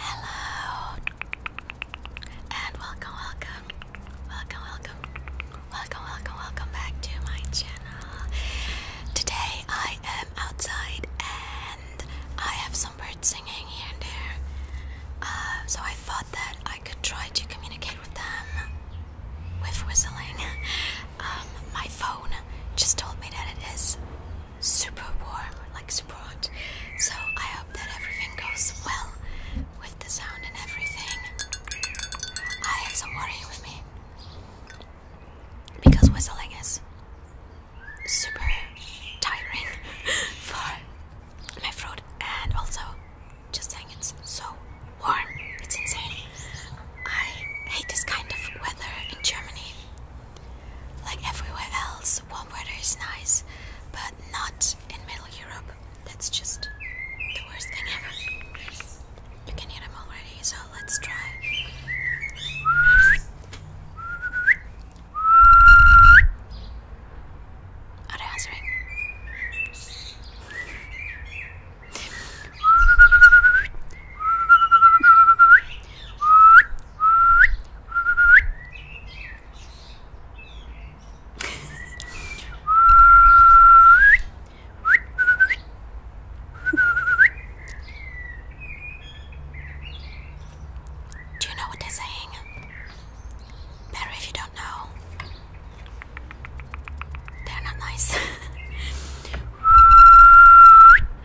Hello and welcome, welcome, welcome, welcome, welcome, welcome, back to my channel. Today I am outside and I have some birds singing here and there. Uh, so I thought that I could try to communicate with them with whistling. Um, my phone just told me that it is super warm, like super So I hope that everything goes well with the sound and everything. I have some water with me because whistling is super tiring for my throat and also just saying it's so warm. It's insane. I hate this kind of weather in Germany. Like everywhere else, warm weather is nice, but not in Middle Europe. That's just the worst thing ever. You can hear them already, so let's try. Are they answering? Do you know what they're saying? Better if you don't know. They're not nice.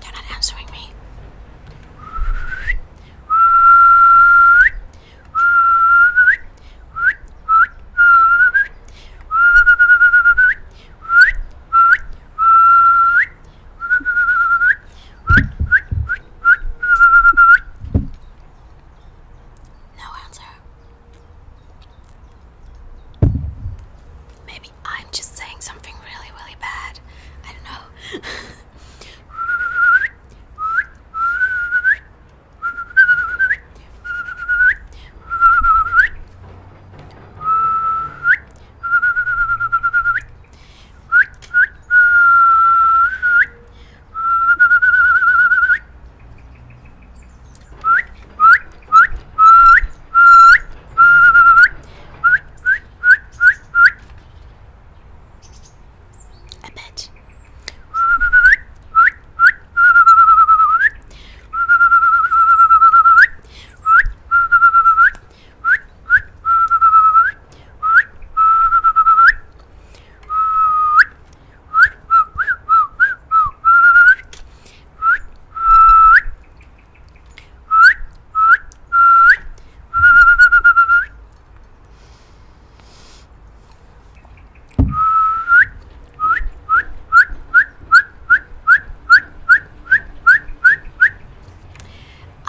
They're not answering me. No answer. Maybe I'm just saying something really, really bad. I don't know. A bit.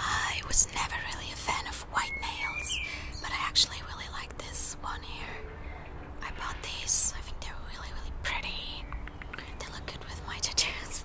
I was never really a fan of white nails, but I actually really like this one here. I bought these, I think they're really, really pretty. They look good with my tattoos.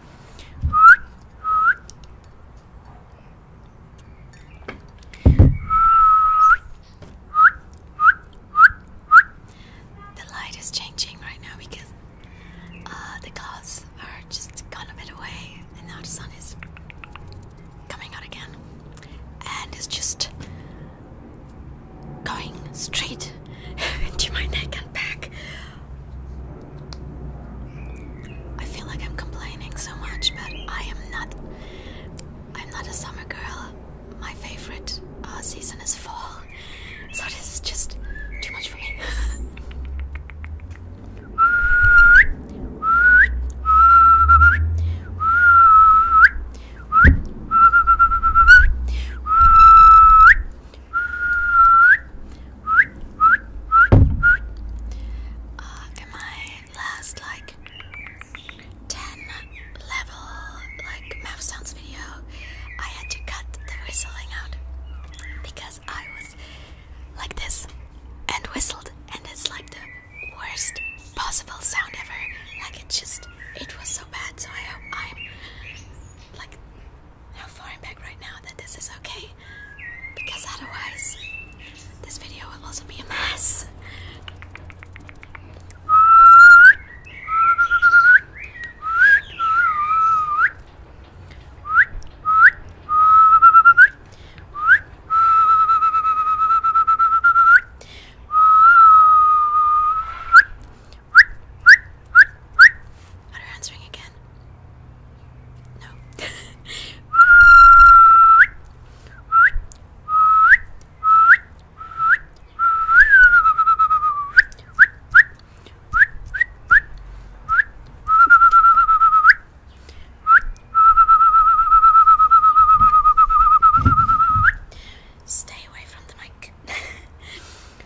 The light is changing right now because uh, the clouds are just gone a bit away, and now the sun is coming out again, and it's just going straight into my neck and back. I feel like I'm complaining so much, but I am not. I'm not a summer girl. My favorite uh, season is fall, so this is just too much for me. Uh, in my last like 10 level like mouth sounds video, I had to cut the whistling out because I was like this and whistled, and it's like the worst possible sound ever. Like it just, it was so bad. So I'm like how far I'm back right now that this is okay. Because otherwise, this video will also be a mess. Are you answering again? No. Stay away from the mic.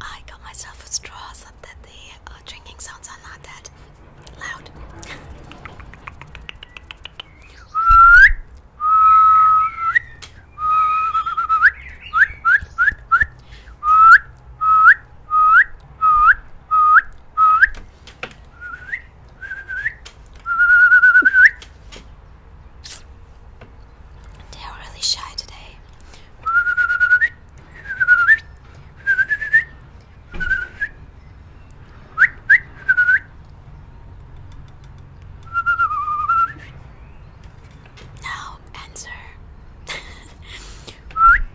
I got myself a straw so that the uh, drinking sounds are not that loud. They are really shy today. Now answer.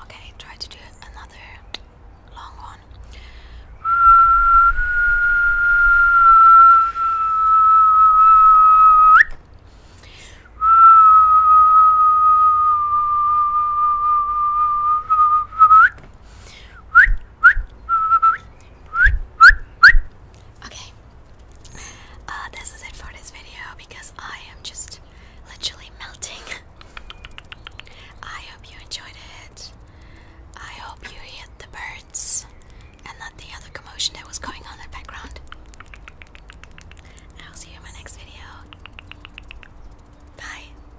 Okay, try to do another long one. Okay. Uh, this is it for this video because I am just literally melting. I hope you enjoyed it. I hope you hit the birds and not the other commotion that was going on in the background. I'll see you in my next video. Bye.